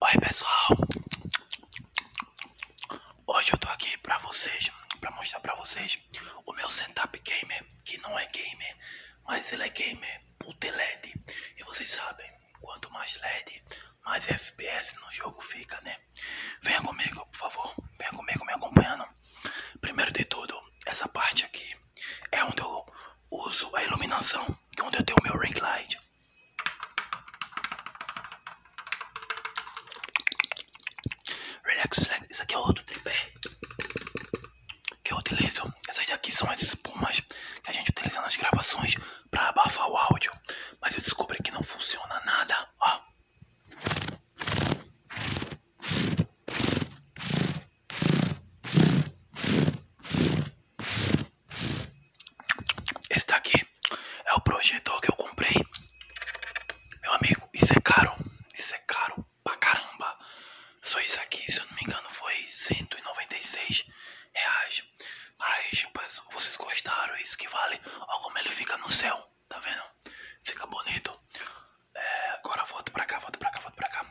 Oi pessoal, hoje eu tô aqui pra vocês, para mostrar pra vocês o meu setup gamer, que não é gamer, mas ele é gamer, puta LED, e vocês sabem, quanto mais LED, mais FPS no jogo fica, né? Venha comigo, por favor, venha comigo me acompanhando. Primeiro de tudo, essa parte aqui é onde eu uso a iluminação, que é onde eu tenho o meu ring light, Relaxa, Isso aqui é outro tripé que eu utilizo. Essas daqui são as espumas que a gente utiliza nas gravações para abafar o áudio. Mas eu descobri que não funciona nada. Ó. Esse daqui é o projetor que eu comprei. Meu amigo, isso é caro. Isso é caro pra caramba. Só isso aqui, se eu não me engano, foi 196 reais. Mas vocês gostaram, isso que vale. Olha como ele fica no céu, tá vendo? Fica bonito. É, agora volta pra cá, volta pra cá, volta pra cá.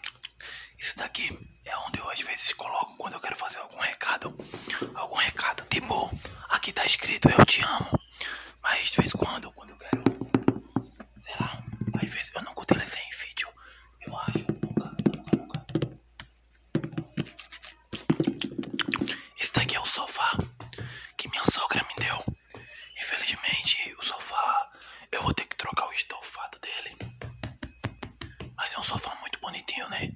Isso daqui é onde eu às vezes coloco quando eu quero fazer algum recado. Algum recado. Tipo, aqui tá escrito eu te amo. Mas de vez em quando, quando eu quero. Sei lá, às vezes eu nunca utilizei em vídeo. Eu acho. Nunca, nunca, nunca. Esse daqui é o sofá que minha sogra me deu. Infelizmente, o sofá eu vou ter que trocar o estofado dele. Mas é um sofá muito bonitinho, né?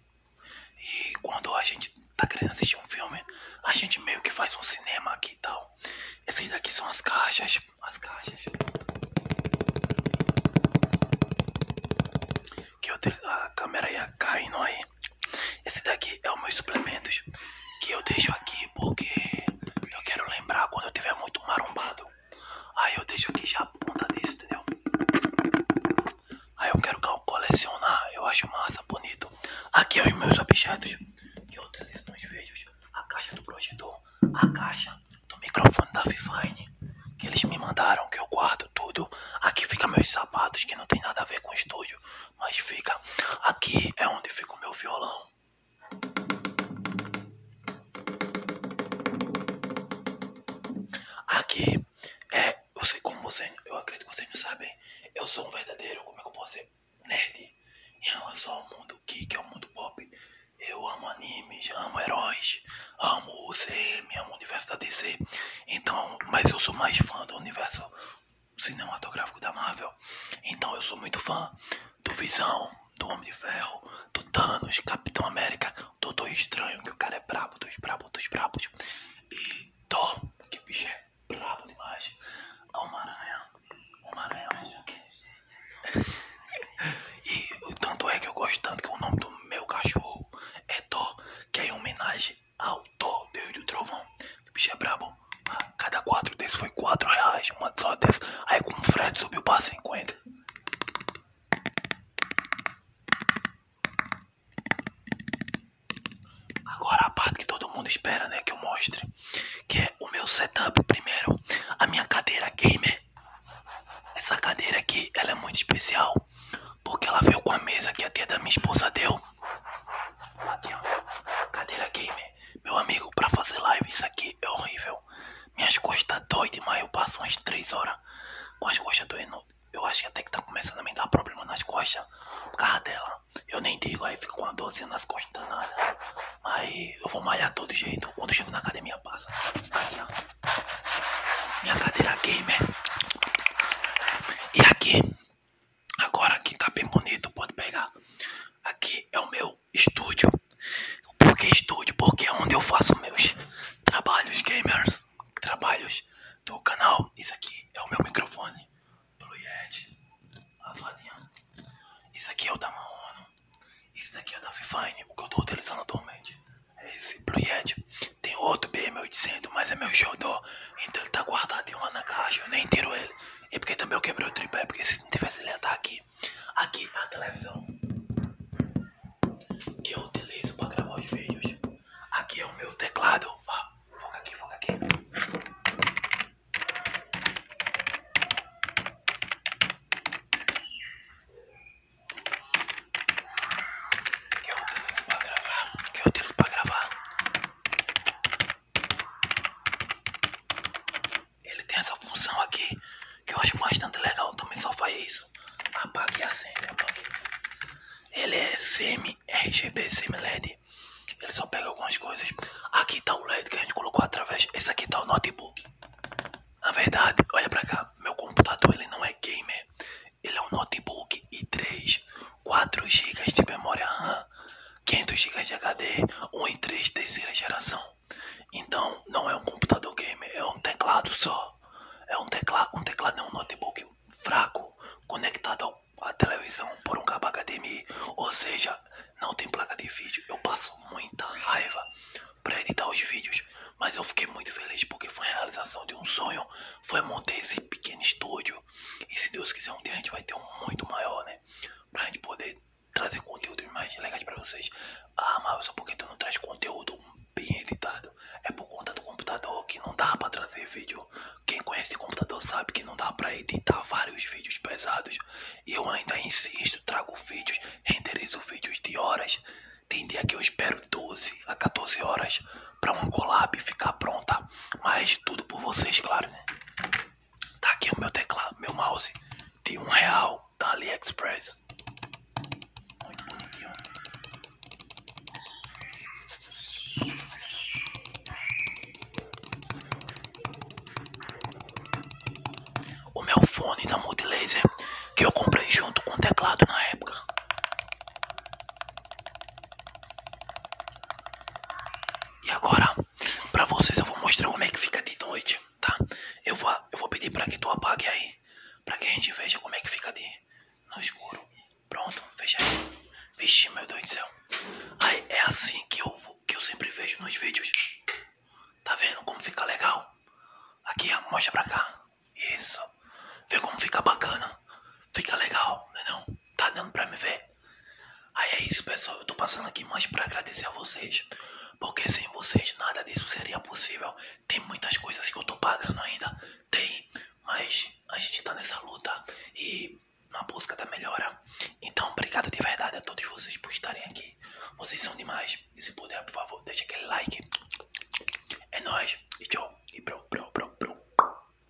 E quando a gente tá querendo assistir um filme, a gente meio que faz um cinema aqui e tal. Esses daqui são as caixas. As caixas. Que eu a câmera ia caindo aí. Esse daqui é os meus suplementos. Que eu deixo aqui porque eu quero lembrar quando eu tiver muito marombado. Aí eu deixo aqui já a ponta disso, entendeu? Aí eu quero colecionar, eu acho massa, bonito. Aqui é os meus objetos que eu utilizo nos vídeos. A caixa do projetor, a caixa do microfone da Fifine, que eles me mandaram, que eu guardo tudo. Aqui fica meus sapatos, que não tem nada a ver com o estúdio, mas fica. Aqui é onde fica o meu violão. Aqui, é, eu sei como vocês, eu acredito que vocês não sabem, eu sou um verdadeiro, como é que eu posso ser, nerd em relação ao mundo geek, ao mundo pop. Eu amo animes, amo heróis, amo o CM, amo o universo da DC. Então, mas eu sou mais fã do universo cinematográfico da Marvel. Então eu sou muito fã do Visão, do Homem de Ferro, do Thanos, Capitão América, do Doutor Estranho, que o cara é brabo, dos brabos, dos brabos. E Thor, que o bicho é brabo demais. Homem-Aranha, é Homem-Aranha Hulk. e tanto é que eu gosto tanto que o nome do meu cachorro é Thor, que é em homenagem ao Thor, Deus do Trovão. Que o bicho é brabo. Cada quatro desses foi 4 reais, uma só dessa. Aí com o Fred subiu para 50. Agora a parte que todo mundo espera, né, que eu mostre, que é o meu setup. Primeiro, a minha cadeira gamer. Essa cadeira aqui, ela é muito especial, porque ela veio com a mesa que a tia da minha esposa deu. Aqui, ó. Cadeira gamer. Meu amigo, pra fazer live isso aqui é horrível. Minhas costas doem demais, eu passo umas 3 horas com as costas doendo. Eu acho que até que tá começando a me dar problema nas costas por causa dela. Eu nem digo, aí fica com uma dorzinha nas costas danada. Mas eu vou malhar todo jeito. Quando chego na academia, passa. Minha cadeira gamer. E aqui, agora que tá bem bonito, pode pegar. Aqui é o meu estúdio. porque estúdio? Porque é onde eu faço meus trabalhos gamers, trabalhos do canal. Isso aqui é o meu microfone Blue Yeti, azuladinho. Isso aqui é o da Maono. Isso aqui é o da Fifine, o que eu tô utilizando atualmente. É esse Blue Yeti. Tem outro de sendo, mas é meu jogador. Então ele tá guardadinho lá na caixa, eu nem tiro ele. é porque também eu quebrei o tripé, porque se não tivesse ele ia estar tá aqui aqui. a televisão que eu utilizo para gravar os vídeos. Aqui é o meu teclado. foca aqui, foca aqui. Que eu utilizo para gravar. Que eu utilizo para gravar. Ele tem essa função aqui que eu acho bastante legal. Também só faz isso. Apaga e acende. Apaga. Ele é semi-RGB, semi-LED. Ele só pega algumas coisas. Aqui tá o LED que a gente colocou através. Esse aqui tá o notebook. Na verdade, olha pra cá. Meu computador ele não é gamer. Ele é um notebook e 3 4 GB de memória RAM. 500 GB de HD, 1 e 3 terceira geração. Então não é um computador gamer, é um teclado só. É um teclado, um teclado é notebook fraco, conectado à televisão por um cabo HDMI, ou seja, não tem placa de vídeo. Eu passo muita raiva para editar os vídeos, mas eu fiquei muito feliz porque foi a realização de um sonho, foi montar esse pequeno estúdio. E se Deus quiser um dia a gente vai ter um muito maior, né? né? Pra gente poder trazer conteúdos mais legais pra vocês. Ah, mas só porque tu não traz conteúdo bem editado. É por conta do computador que não dá pra trazer vídeo. Quem conhece computador sabe que não dá pra editar vários vídeos pesados. E eu ainda insisto, trago vídeos, renderizo vídeos de horas. Tem dia que eu espero 12 a 14 horas para uma collab ficar pronta. Mas tudo por vocês, claro, né? Tá aqui o meu teclado, meu mouse de um real da AliExpress. Muito bonitinho. O meu fone da Multilaser que eu comprei junto com o teclado na época. E agora Pra vocês eu vou mostrar como é que fica de noite, tá? Eu vou, eu vou pedir pra que tu apague aí, pra que a gente veja como é que fica de no escuro. Pronto, fecha aí. Vixe, meu Deus do céu. Aí é assim que eu, vou, que eu sempre vejo nos vídeos. Tá vendo como fica legal? Aqui, mostra pra cá. Isso. Vê como fica bacana. Fica legal, né não Tá dando pra me ver? Aí é isso, pessoal. Eu tô passando aqui mais para agradecer a vocês. Porque sem vocês nada disso seria possível. Tem muitas coisas que eu tô pagando ainda. Tem. Mas a gente tá nessa luta e na busca da melhora. Então, obrigado de verdade a todos vocês por estarem aqui. Vocês são demais. E se puder, por favor, deixa aquele like. É nóis. E tchau. E pro, pro, pro, pro.